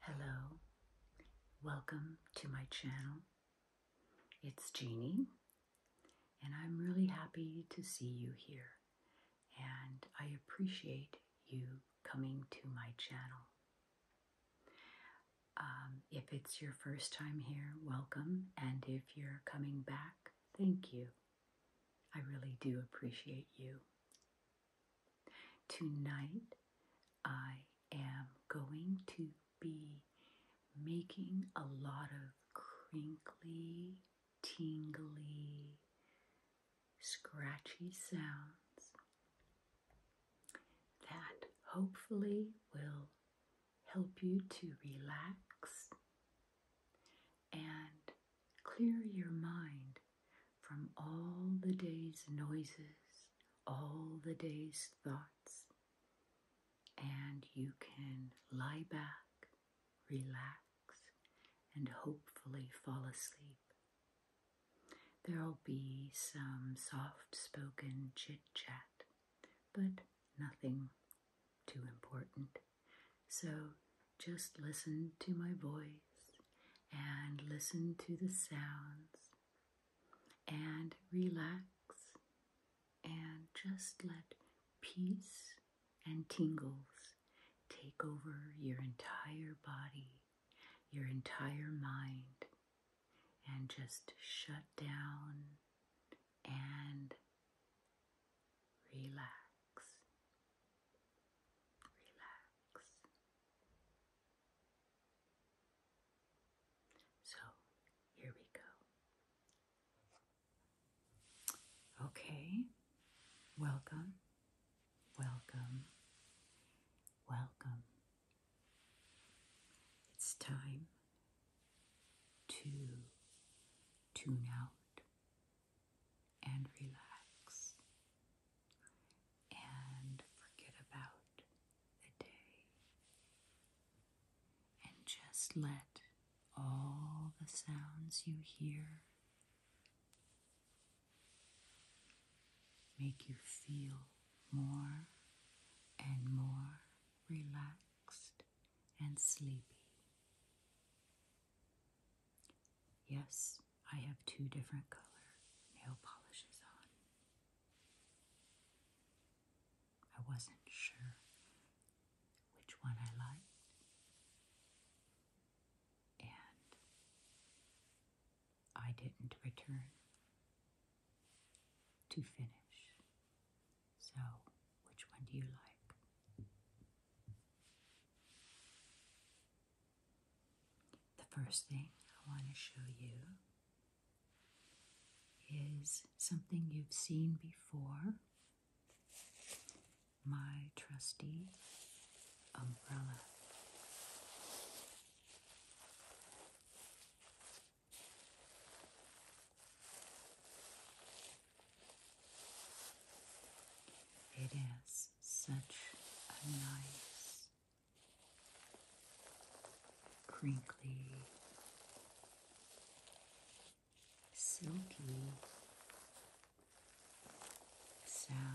Hello, welcome to my channel. It's Jeannie, and I'm really happy to see you here, and I appreciate you coming to my channel. Um, if it's your first time here, welcome. And if you're coming back, thank you. I really do appreciate you. Tonight, I am going to be making a lot of crinkly, tingly, scratchy sounds that hopefully will help you to relax and clear your mind from all the day's noises, all the day's thoughts, and you can lie back, relax, and hopefully fall asleep. There'll be some soft spoken chit chat, but nothing too important. So just listen to my voice and listen to the sounds and relax and just let peace and tingles take over your entire body, your entire mind, and just shut down and relax. Relax. So here we go. Okay, welcome, welcome, welcome it's time to tune out and relax and forget about the day and just let all the sounds you hear make you feel more and more relaxed and sleepy. Yes, I have two different color nail polishes on. I wasn't sure which one I liked, and I didn't return to finish. So, which one do you like? The first thing I want to show you is something you've seen before my trusty umbrella. It is such a nice, crinkly, silky sound.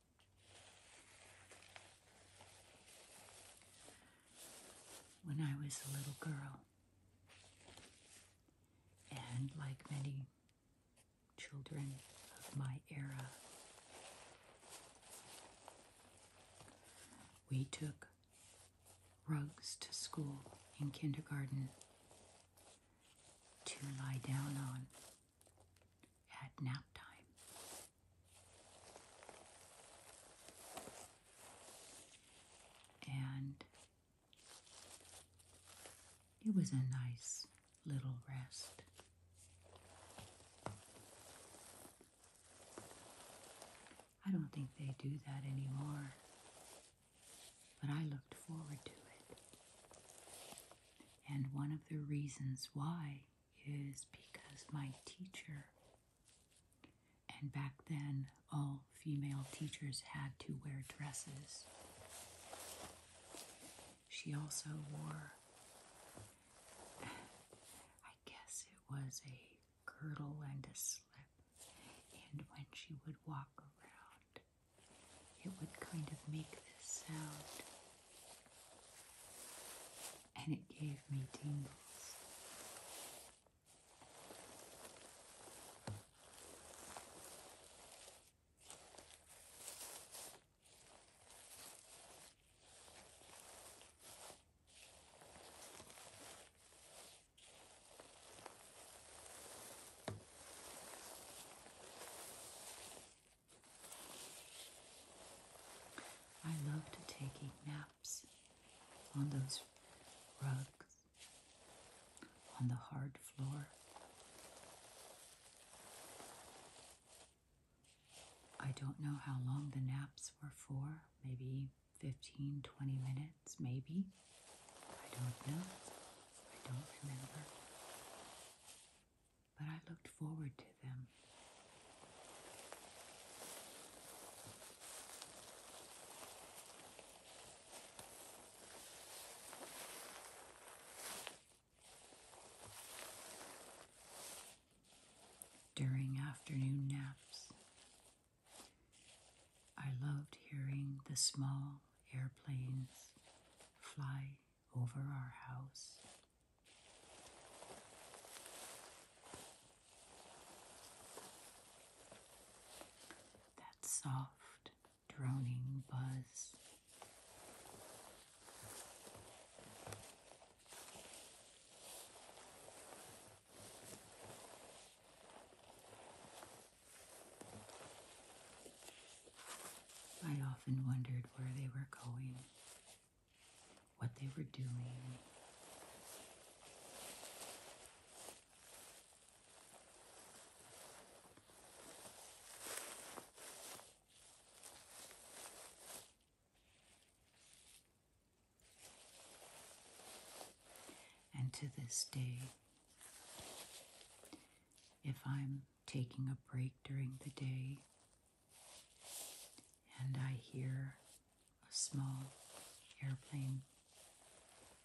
when I was a little girl. And like many children of my era, we took rugs to school in kindergarten to lie down on had nap time. And it was a nice little rest. I don't think they do that anymore, but I looked forward to it. And one of the reasons why is because my teacher, and back then all female teachers had to wear dresses. She also wore, I guess it was a girdle and a slip, and when she would walk around, it would kind of make this sound and it gave me tingles. I loved taking naps on those rugs, on the hard floor. I don't know how long the naps were for, maybe 15, 20 minutes, maybe. I don't know. I don't remember but I looked forward to them. During afternoon naps, I loved hearing the small airplanes fly over our house. That soft, droning buzz. I often wondered where they were going what they were doing. And to this day, if I'm taking a break during the day and I hear a small airplane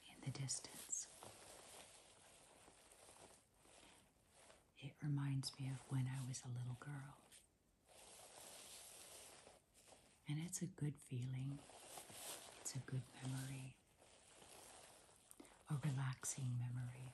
in the distance. It reminds me of when I was a little girl. And it's a good feeling, it's a good memory, a relaxing memory.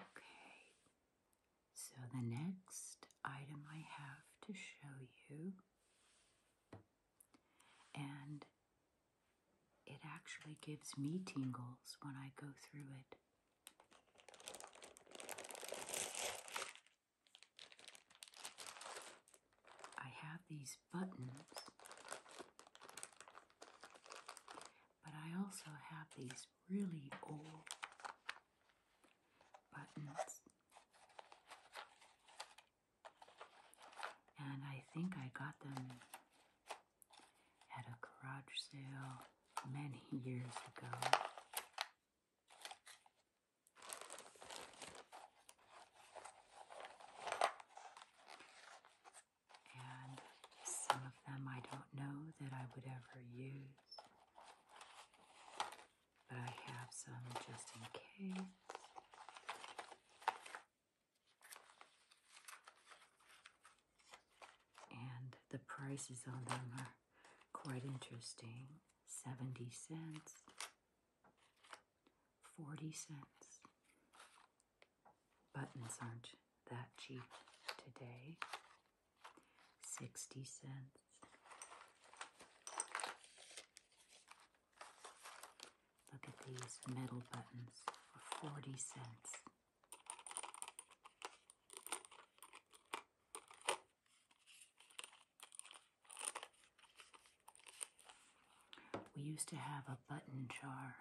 Okay, so the next item I have to show you, and it actually gives me tingles when I go through it. I have these buttons, but I also have these really old buttons. And I think I got them at a garage sale many years ago. And some of them I don't know that I would ever use, but I have some just in case and the prices on them are quite interesting 70 cents, 40 cents. Buttons aren't that cheap today. 60 cents. Look at these metal buttons for 40 cents. We used to have a button jar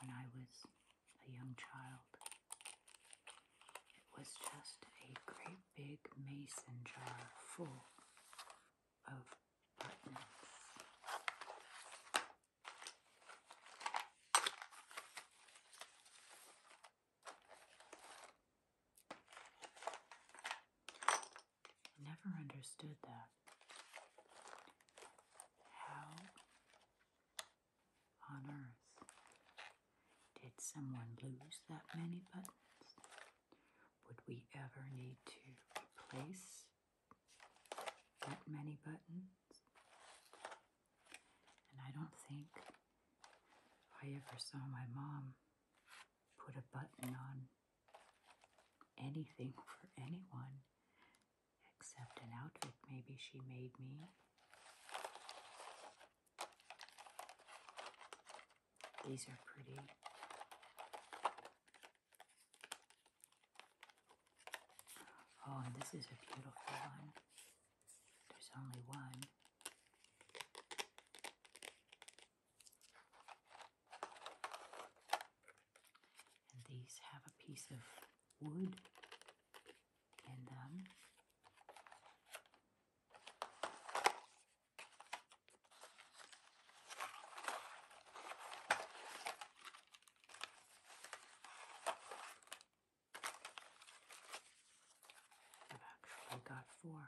when I was a young child. It was just a great big mason jar full of buttons. I never understood that. How on earth did someone lose that many buttons? Would we ever need to replace that many buttons? And I don't think I ever saw my mom put a button on anything for anyone except an outfit maybe she made me. These are pretty. Oh, and this is a beautiful one. There's only one. And these have a piece of wood in them. I've actually got four.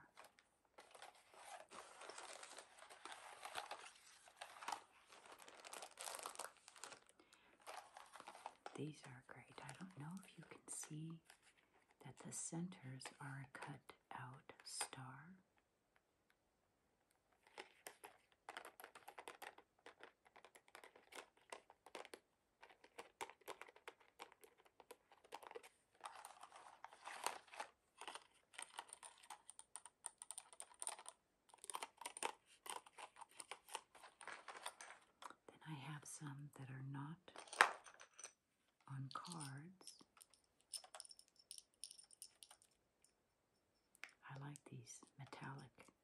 These are great. I don't know if you can see that the centers are a cut out star. Then I have some that are not on cards. I like these metallic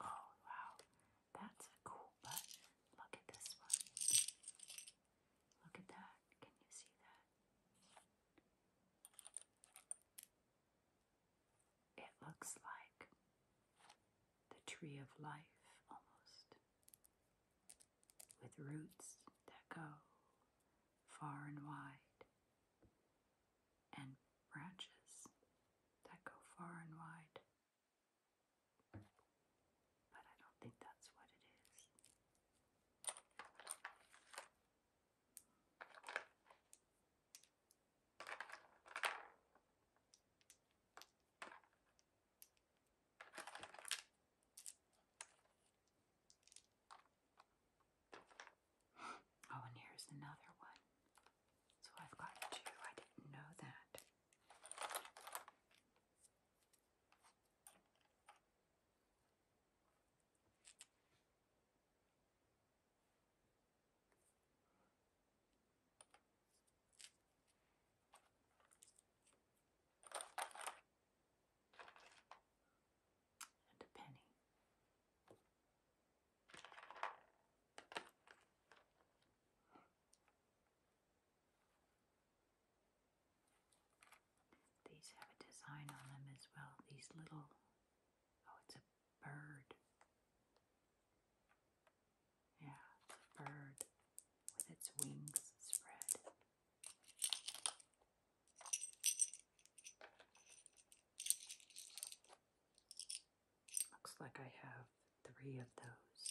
Oh, wow, that's a cool button. Look at this one. Look at that. Can you see that? It looks like the tree of life almost, with roots that go far and wide, and branches that go far and wide. But I don't think that's what it is. Oh, and here's another one. So I've got two. I didn't know that and a penny. These have a design on them as well. These little, oh, it's a bird. Yeah, a bird with its wings spread. Looks like I have three of those.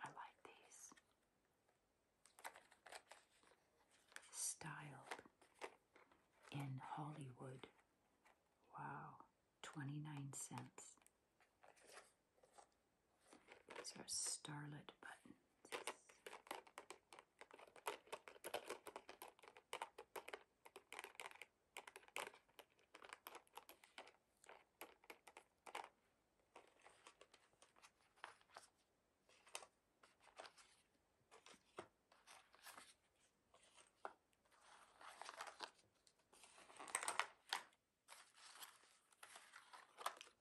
I like these styled in Hollywood. Wow, 29 cents. These are starlit buttons.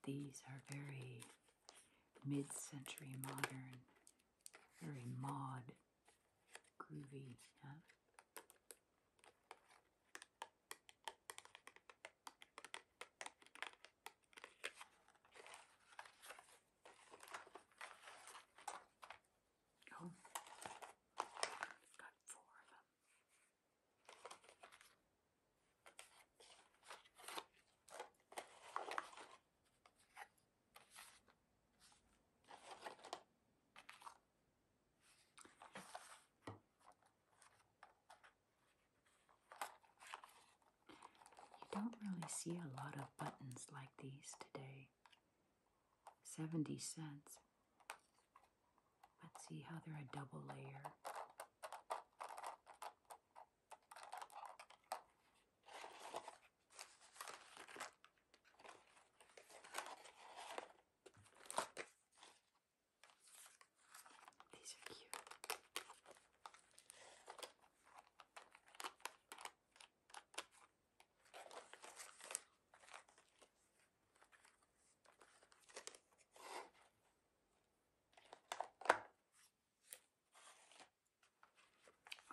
These are very mid century modern, very mod, groovy. Huh? Oh, got four of them. You don't really see a lot of buttons like these today. 70 cents. Let's see how they're a double layer. These are cute.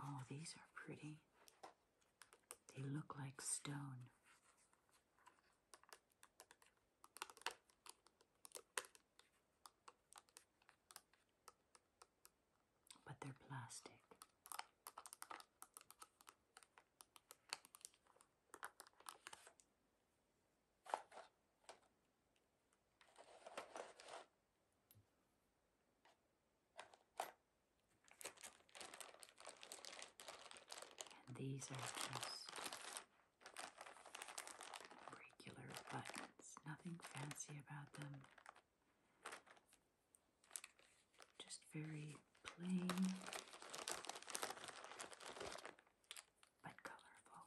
Oh, these are pretty. They look like stone. But they're plastic these are just regular buttons, nothing fancy about them. Just very plain but colorful.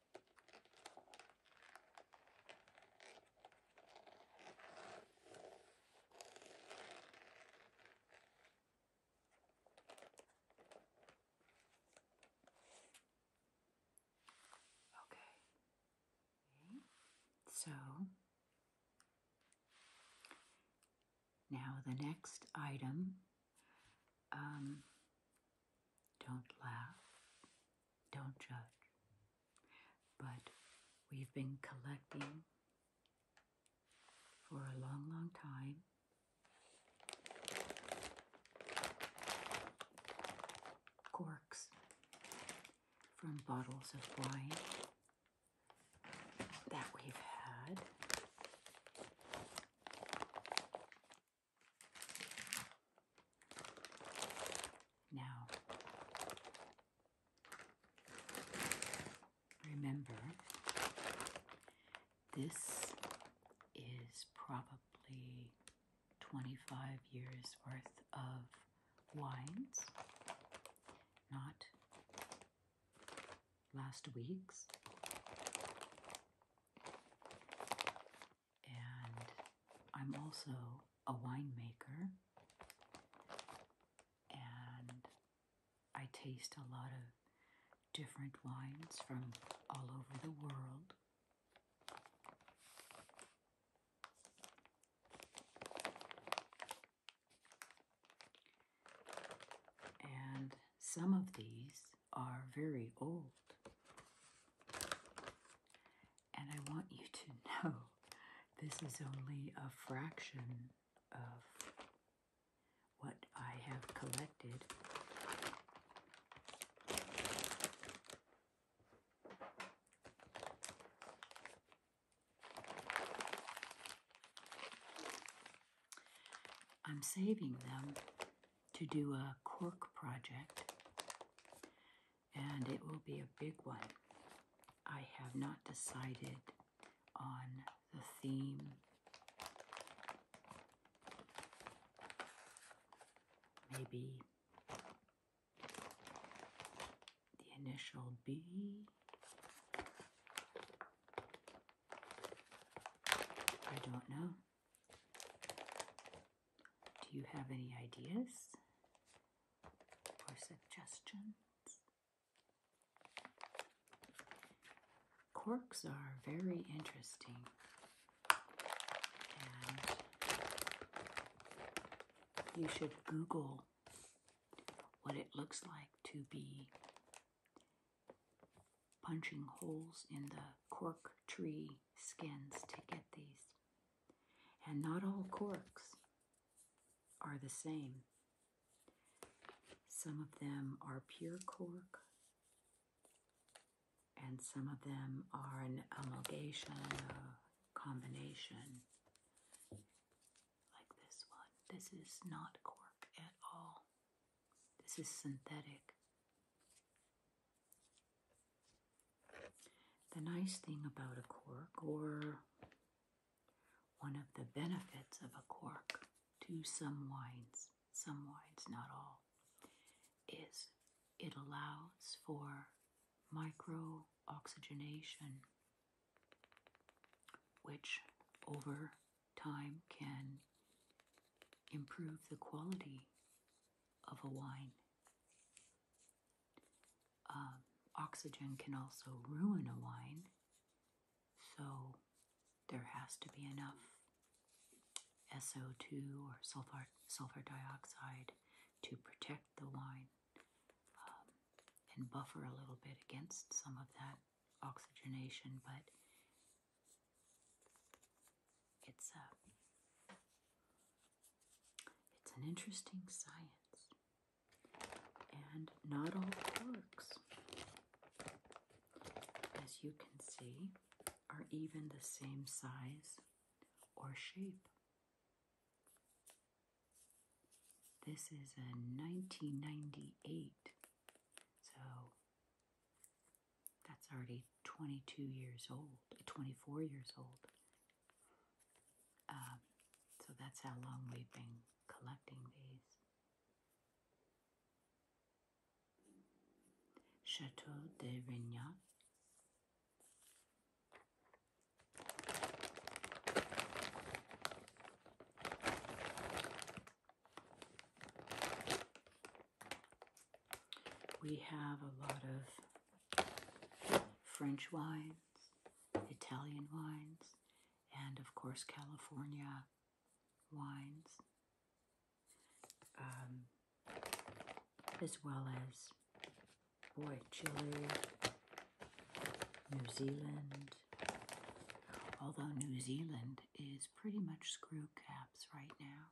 Okay. okay. So now the next item um, don't laugh, don't judge, but we've been collecting for a long, long time. Corks from bottles of wine that we've had. Now, remember, this is probably 25 years worth of wines, not last week's and I'm also a winemaker, and I taste a lot of different wines from all over the world. And some of these are very old. And I want you to know this is only a fraction of what I have collected. I'm saving them to do a cork project and it will be a big one. I have not decided on the theme. Maybe the initial B. I don't know. Do you have any ideas or suggestions? Corks are very interesting and you should Google what it looks like to be punching holes in the cork tree skins to get these. And not all corks are the same. Some of them are pure cork, and some of them are an amalgamation, a combination, like this one. This is not cork at all, this is synthetic. The nice thing about a cork, or one of the benefits of a cork to some wines, some wines, not all, is it allows for micro oxygenation, which over time can improve the quality of a wine. Um, oxygen can also ruin a wine, so there has to be enough SO2 or sulfur, sulfur dioxide to protect the wine um, and buffer a little bit against some of that oxygenation, but it's a uh, it's an interesting science, and not all quarks, as you can see, are even the same size or shape. This is a 1998, so that's already 22 years old, 24 years old. Um, so that's how long we've been collecting these. Chateau de Rignac. We have a lot of French wines, Italian wines, and of course California wines, um, as well as, boy, Chile, New Zealand, although New Zealand is pretty much screw caps right now.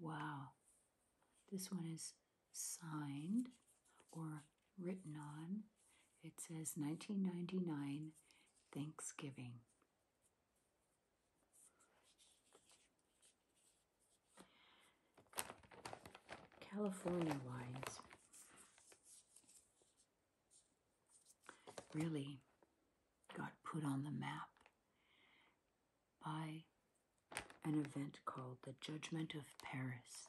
Wow. This one is signed or written on. It says 1999 Thanksgiving. California wise really got put on the map by an event called the Judgment of Paris.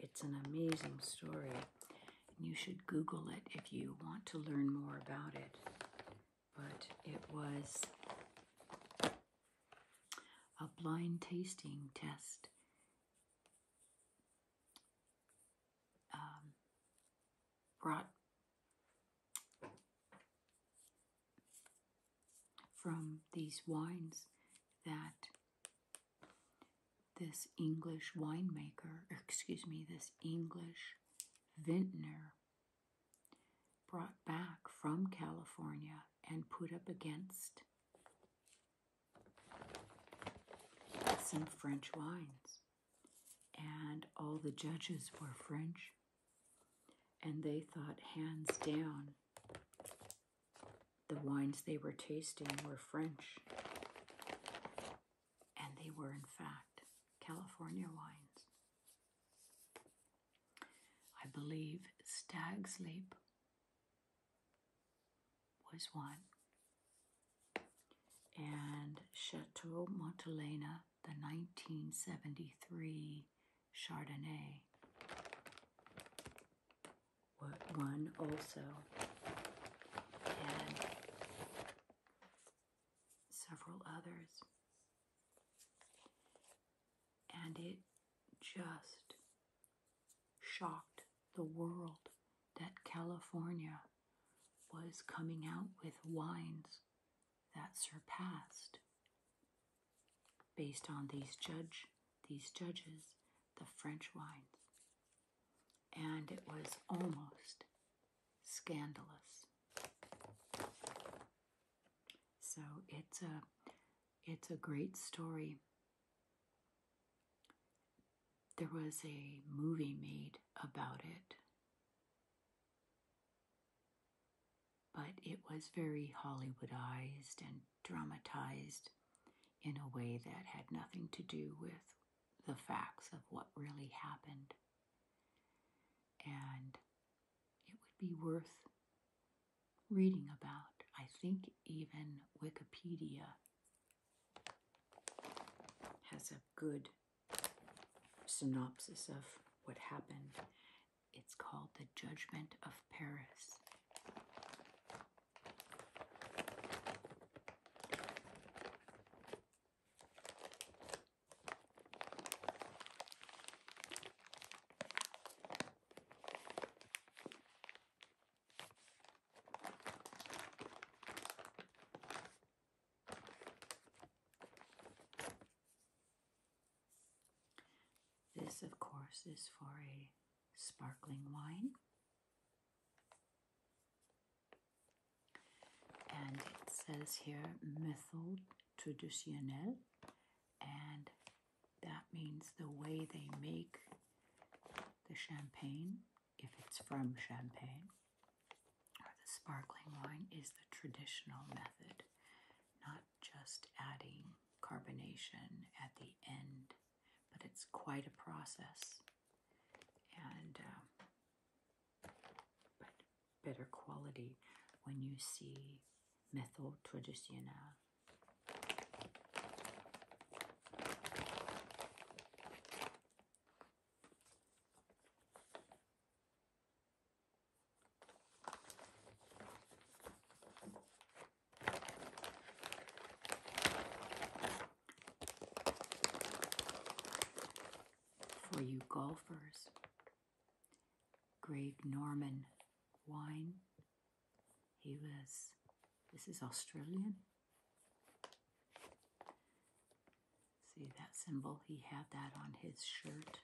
it's an amazing story. You should Google it if you want to learn more about it. But it was a blind tasting test um, brought from these wines that this English winemaker, excuse me, this English vintner brought back from California and put up against some French wines. And all the judges were French. And they thought, hands down, the wines they were tasting were French. And they were, in fact, California wines. I believe Stag's Leap was one, and Chateau Montelena, the 1973 Chardonnay, one also, and several others. And it just shocked the world that California was coming out with wines that surpassed based on these judge these judges the French wines and it was almost scandalous so it's a it's a great story. There was a movie made about it, but it was very Hollywoodized and dramatized in a way that had nothing to do with the facts of what really happened. And it would be worth reading about. I think even Wikipedia has a good synopsis of what happened. It's called The Judgment of Paris. This, of course, is for a sparkling wine. And it says here method traditionnelle and that means the way they make the champagne, if it's from Champagne, or the sparkling wine, is the traditional method, not just adding carbonation at the end, but it's quite a process and um, but better quality when you see méthode traditionnelle for you golfers, Grave Norman wine he was, this is Australian. See that symbol? He had that on his shirt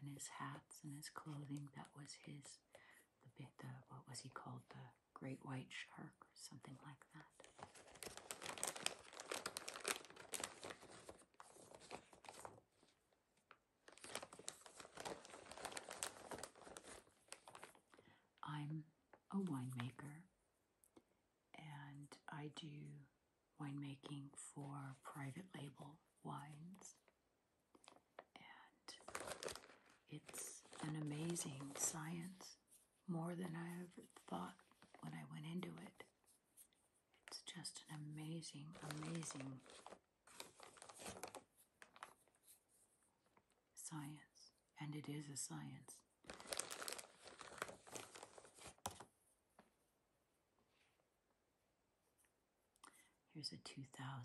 and his hats and his clothing. That was his, the bit, the, what was he called? The great white shark or something like that. I'm a winemaker and I do winemaking for private label wines. And it's an amazing science, more than I ever thought when I went into it. It's just an amazing, amazing Science, and it is a science. Here's a 2000.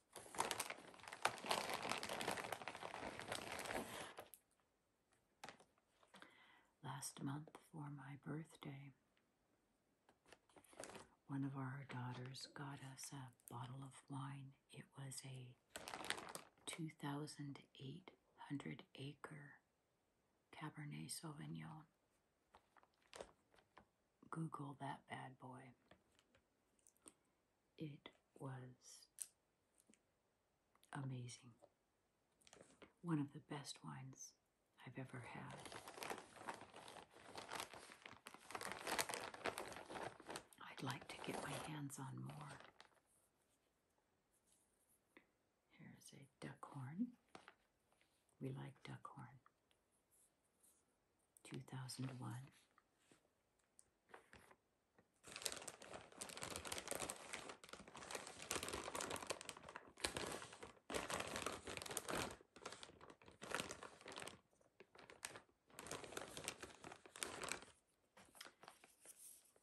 Last month for my birthday, one of our daughters got us a bottle of wine. It was a 2,800 acre Cabernet Sauvignon. Google that bad boy. It was amazing. One of the best wines I've ever had. I'd like to get my hands on more. Here's a duck horn. We like duck horn. 2001.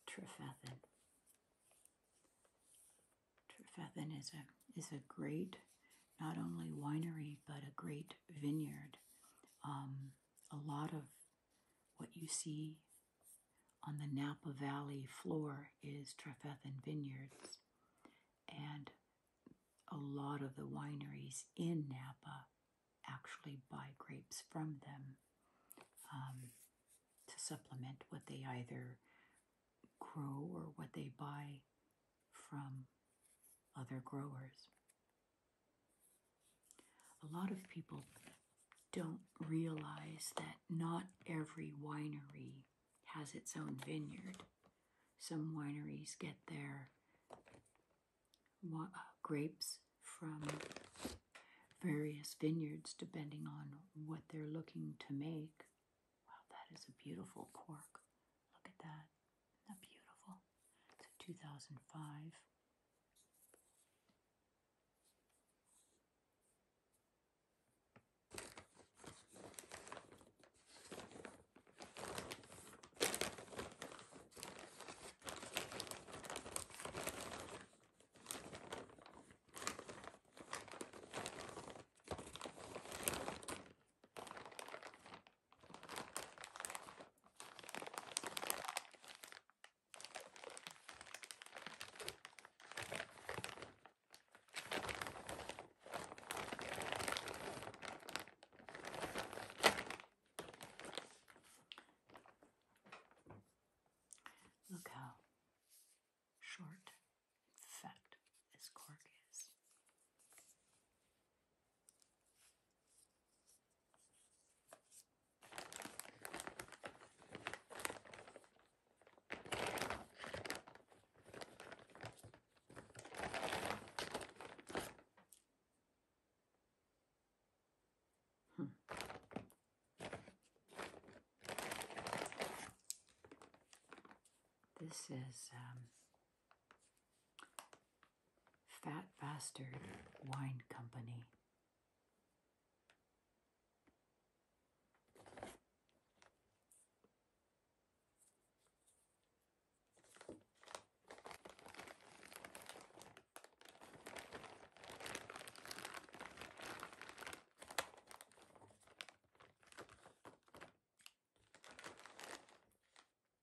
Trefethin. Trefethin is a is a great not only winery but a great vineyard. Um, a lot of what you see on the Napa Valley floor is Trefethen Vineyards, and a lot of the wineries in Napa actually buy grapes from them um, to supplement what they either grow or what they buy from other growers. A lot of people don't realize that not every winery has its own vineyard. Some wineries get their uh, grapes from various vineyards depending on what they're looking to make. Wow, that is a beautiful cork. Look at that that beautiful? It's a 2005. Look how short and fat this cork is. This is um, Fat Faster Wine Company.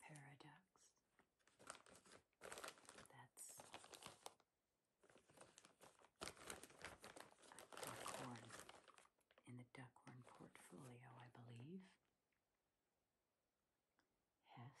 paradox. That's duckhorn in the duckhorn portfolio, I believe. Hess.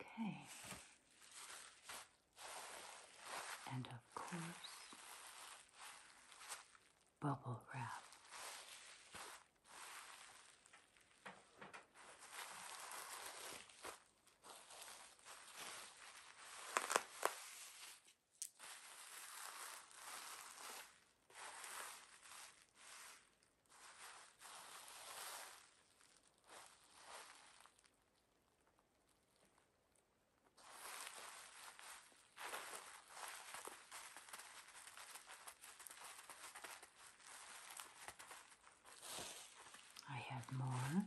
Okay. And of course, bubble wrap. I have more.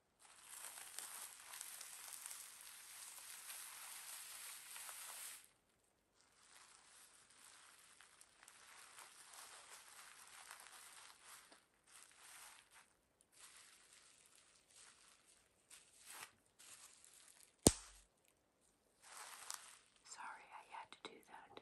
Sorry, I had to do that.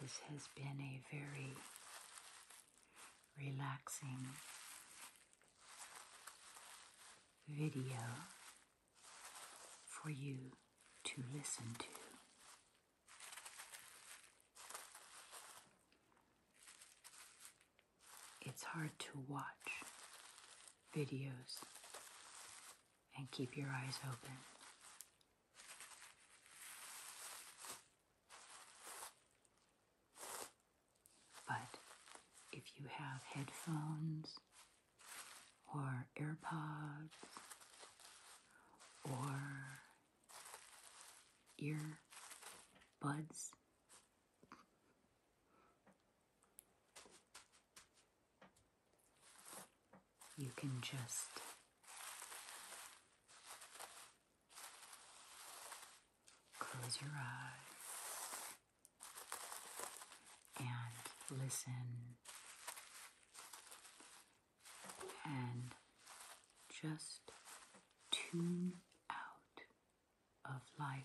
this has been a very relaxing video for you to listen to. It's hard to watch videos and keep your eyes open. But if you have headphones or AirPods or ear you can just Close your eyes and listen and just tune out of life.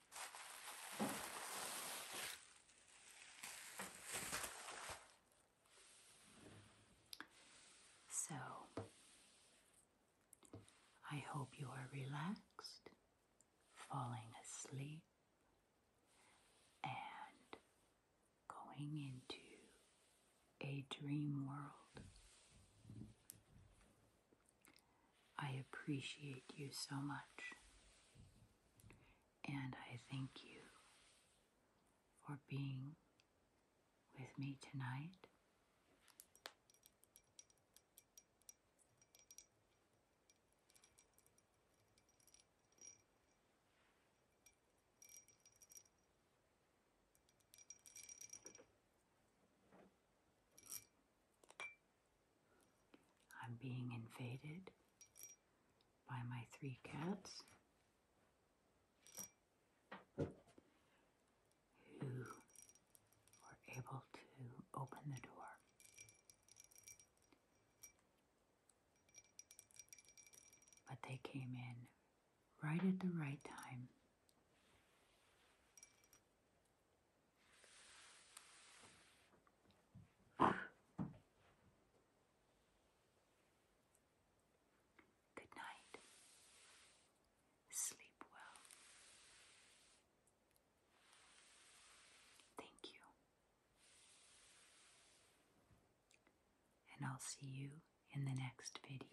So, I hope you are relaxed, falling asleep, and going into a dream world. I appreciate you so much and I thank you for being with me tonight. I'm being invaded by my three cats who were able to open the door. But they came in right at the right time. Good night. Sleep well. Thank you. And I'll see you in the next video.